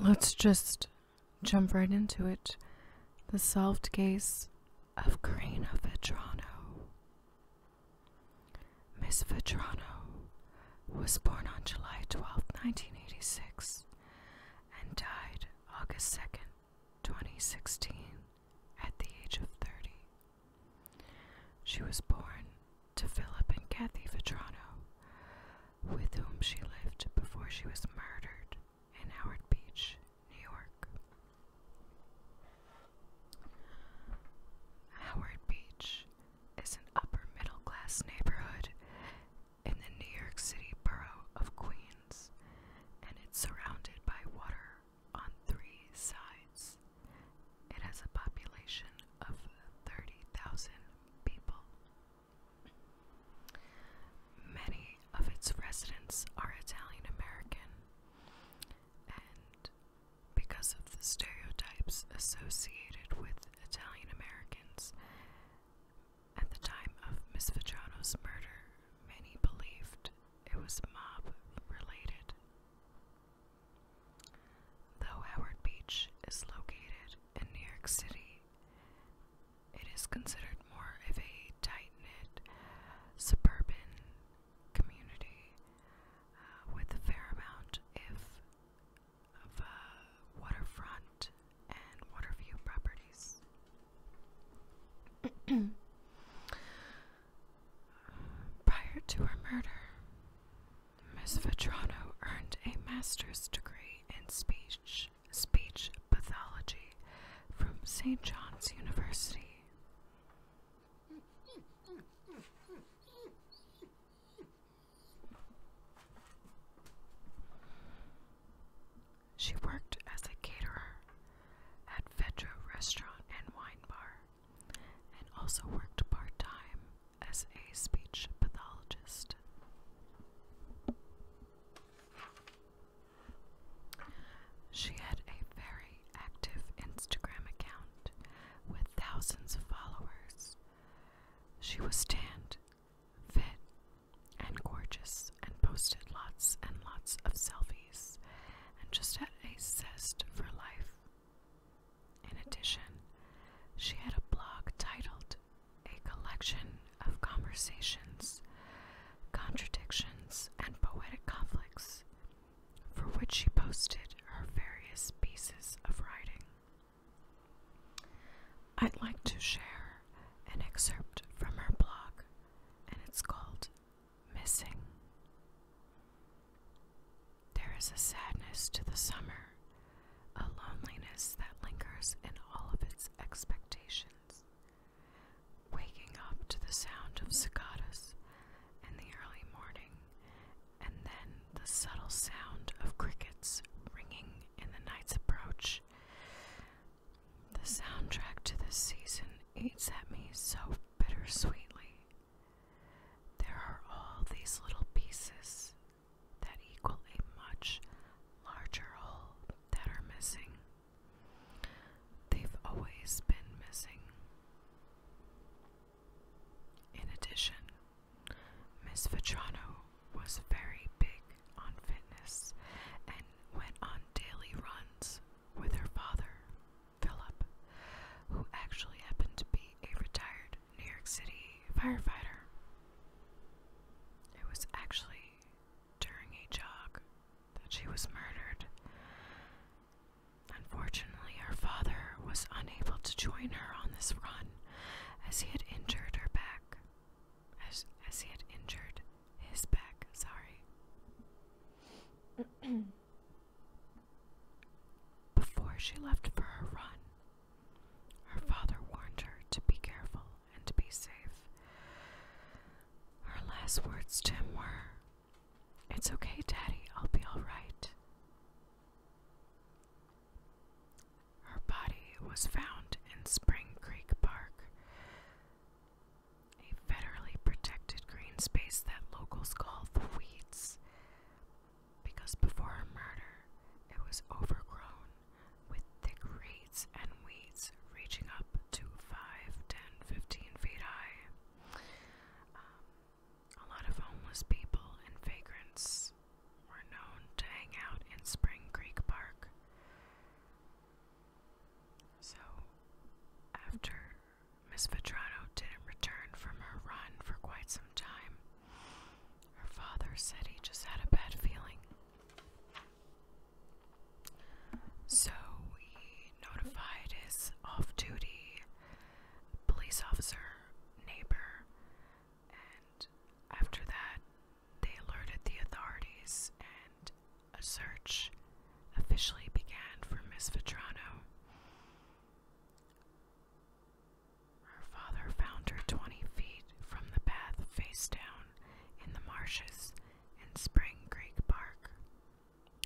Let's just jump right into it. The solved case of Karina Vetrano. Miss Vetrano was born on July 12, 1986, and died August 2nd, 2016, at the age of 30. She was born to Philip and Kathy Vitrano, with whom she lived before she was murdered in Howard Beach, New York. Howard Beach is an upper middle class neighborhood in the New York City borough of Queens and it's surrounded by water on three sides. It has a population of 30,000 people. Many of its residents are Italian American, and because of the stereotypes associated with Italian Americans, at the time of Miss Vajano's murder, many believed it was mob related. Though Howard Beach is located in New York City, it is considered more of a tight knit suburban community uh, with a fair amount if of uh, waterfront and water view properties. Prior to her murder, Ms. Vetrano earned a master's degree in speech speech pathology from St. John's University. She worked as a caterer at Vedra Restaurant and Wine Bar, and also worked part time as a speech pathologist. She had a very active Instagram account with thousands of followers. She was tan, fit, and gorgeous and posted lots and lots of selfies and just had a zest for life. In addition, she had a blog titled A Collection of Conversations, Contradictions, and Poetic Conflicts, for which she posted her various pieces of writing. I'd like to share an excerpt from her blog, and it's called Missing. There is a sadness to the summer, a loneliness that lingers in all of its expectations. Waking up to the sound of cicadas in the early morning, and then the subtle sound of crickets ringing in the night's approach, the soundtrack to this season eats at me so bittersweetly. There are all these little pieces that equal a much larger whole that are missing. They've always been missing. In addition, Miss Vitrano was very big on fitness and went on daily runs with her father, Philip, who actually happened to be a retired New York City firefighter. It was actually during a jog that she was murdered. Unfortunately, her father was unable to join her on this run as he had injured her back as, he had injured his back. Sorry. Before she left for her run, her father warned her to be careful and to be safe. Her last words to him were, It's okay, Daddy, I'll be alright. Her body was found in Spring Creek Park, a federally protected green space that locals call the Weeds, because before her murder, it was overgrown with thick reeds and weeds reaching up to 5, 10, 15 feet high. Um, a lot of homeless people and vagrants were known to hang out in Spring Creek Park. So, after Miss Vitrano didn't return from her run for quite some time, her father said he just had a bad feeling. So he notified his off duty police officer neighbor, and after that, they alerted the authorities, and a search officially began for Miss Vetrano. Her father found her 20 feet from the path face down in the marshes in Spring Creek Park.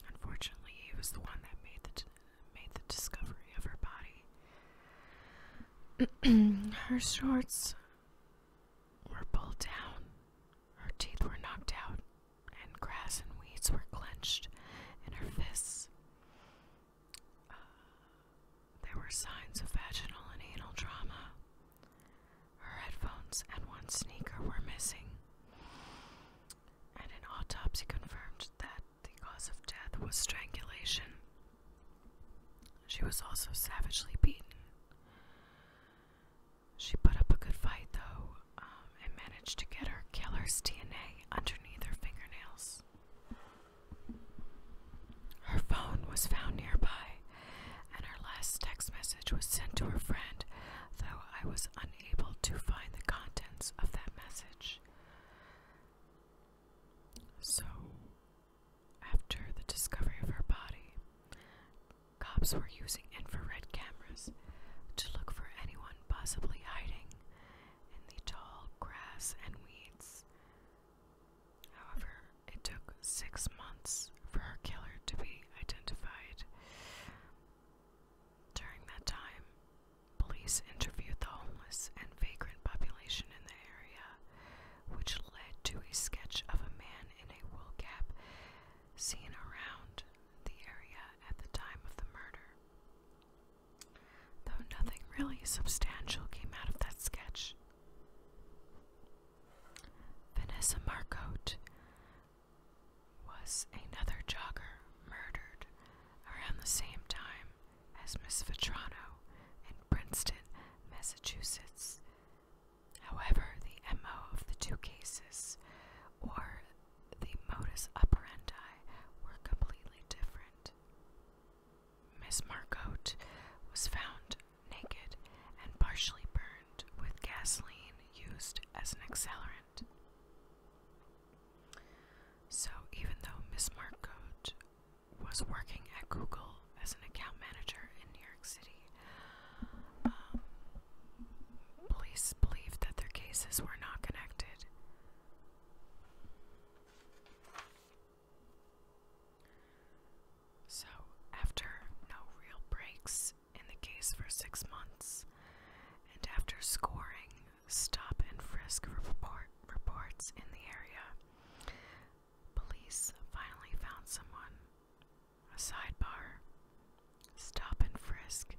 Unfortunately, he was the one that made the, made the discovery of her body. her shorts were pulled down, her teeth were knocked out, and grass and weeds were clenched in her fists. Uh, there were signs of vaginal and anal trauma. Her headphones and one sneaker were missing, and an autopsy confirmed that the cause of death was strangulation. She was also savagely beaten. She put up a good fight, though, um, and managed to get her killer's DNA underneath her fingernails. Her phone was found nearby, and her last text message was sent to her friend, though I was unable to find the contents of that message. So, after the discovery of her body, cops were using infrared cameras to look for anyone possibly hiding in the tall grass and weeds. However, it took six months for her killer to be identified. During that time, police interviewed the homeless and vagrant population in the area which led to a sketch of a man in a wool cap seen around the area at the time of the murder. Though nothing really substantial came out of that sketch. Vanessa Marcotte was another jogger murdered around the same time as Miss Vetrano in Princeton, Massachusetts. However, the MO of the two cases, or the modus operandi, were completely different. Miss Marcotte was found naked and partially burned with gasoline used as an accelerant. So, even though Miss Marcotte was working at Google as an account manager in New York City. Um, police believed that their cases were not connected. So, after no real breaks in the case for six months, and after scoring stop and frisk report reports in the area, Police finally found someone. A sidebar. Stop and frisk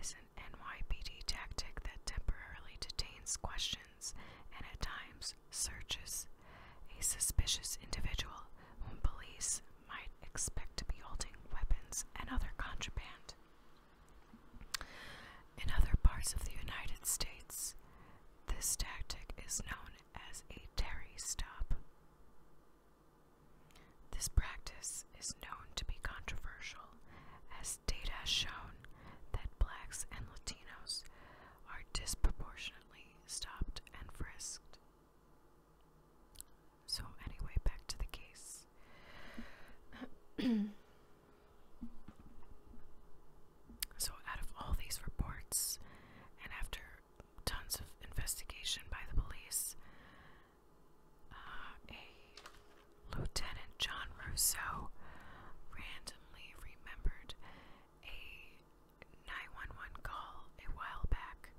is an NYPD tactic that temporarily detains questions and at times searches a suspicious individual whom police might expect to be holding weapons and other contraband. In other parts of the United States, this tactic is known as a Terry stop. This practice is known to be controversial, as data has shown that blacks and Latinos are disproportionately stopped and frisked. So, anyway, back to the case. So, out of all these reports, and after tons of investigation by the police, uh, a Lieutenant John Rousseau randomly remembered a 911 call a while back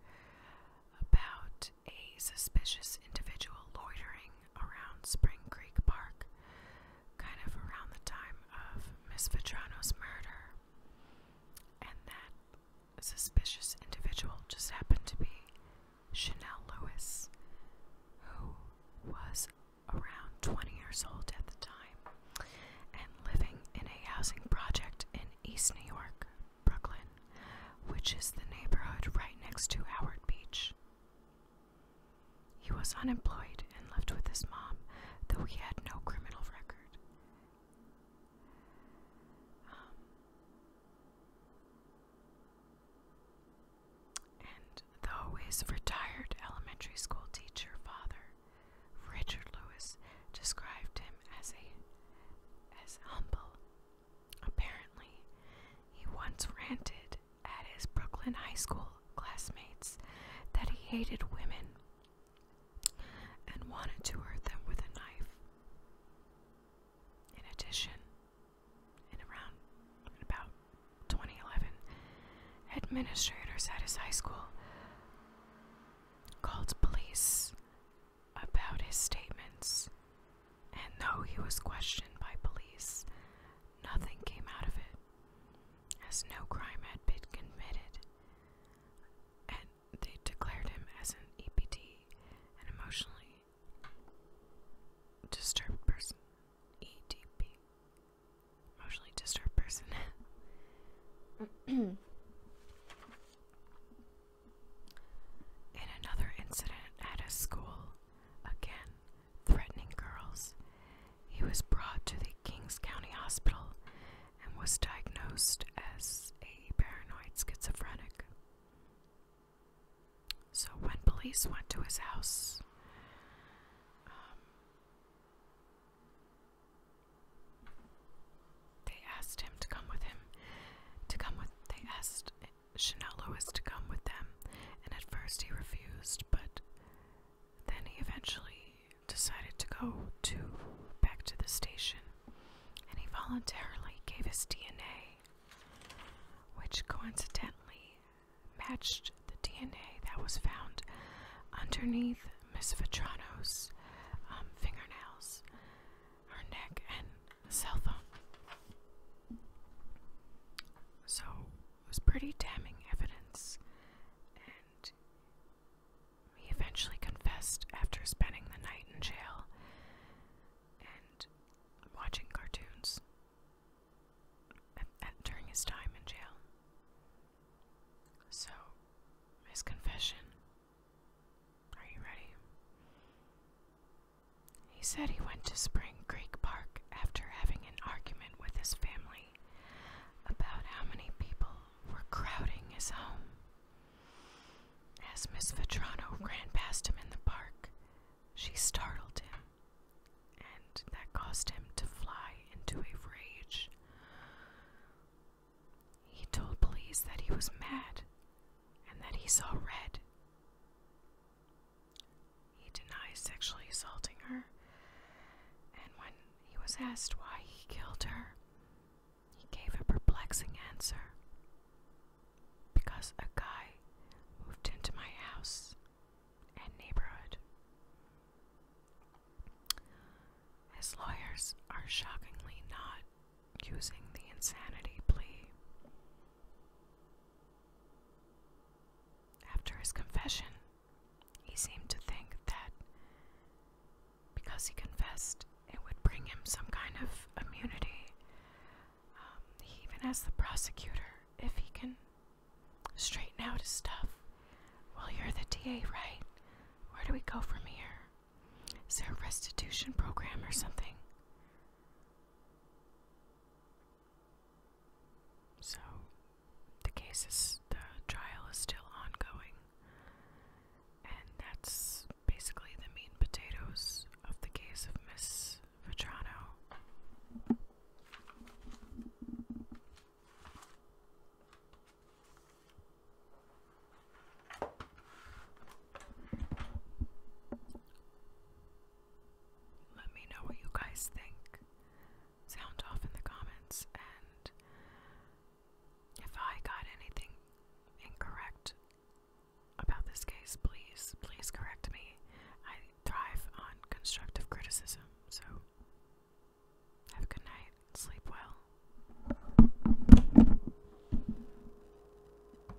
about a suspicious individual loitering around Spring Creek Park, kind of around the time of Miss Vitrano's murder. And that suspicious individual just happened to be Chanel Lewis, who was around 20 years old at the time and living in a housing project in East New York, Brooklyn, which is the neighborhood right next to Howard Beach. He was unemployed and lived with his mom, though he had no criminal record. Um, and though his retired elementary school teacher father, Richard Lewis, described him as a as humble, apparently he once ranted at his Brooklyn high school classmates that he hated women and wanted to hurt them with a knife. In addition, in around about 2011, administrators at his high school called police about his statements, and though he was questioned by police, Nothing came out of it, as no crime had been committed, and they declared him as an EPD, an emotionally disturbed person. EDP, emotionally disturbed person. In another incident at a school, again, threatening girls. He was brought to the Kings County Hospital and was diagnosed as a paranoid schizophrenic. So, when police went to his house, um, they asked him to come with him. To come with, they asked Shinelo was to come with them, and at first he refused, but then he eventually decided to go to back to the station, and he voluntarily gave his DNA, which coincidentally matched the DNA that was found underneath Miss Vitrano's um, fingernails, her neck, and cell phone. So it was pretty damning evidence, and he eventually confessed after spending the night in jail and watching cartoons at, during his time in jail. So, his confession. Are you ready? He said he went to Spring Creek Park after having an argument with his family about how many people were crowding his home. As Miss Vetrano ran past him in the park, she startled him, and that caused him to fly into a rage. He told police that he was mad and that he saw red. He denies sexually assaulting her, and when he was asked why he killed her, he gave a perplexing answer because a guy moved into my house and neighborhood. His lawyers are shockingly not using the insanity plea after his confession, he seemed to think that because he confessed, it would bring him some kind of immunity. Um, he even asked the prosecutor if he can straighten out his stuff. Well, you're the DA, right? Where do we go from here? Is there a restitution program or something? So the case is the trial is still ongoing. And that's basically the meat potatoes of the case of Miss Vetrano. Let me know what you guys think. Sound off in the comments, and if I got anything incorrect about this case, please, please correct me. I thrive on constructive criticism, so have a good night, sleep well.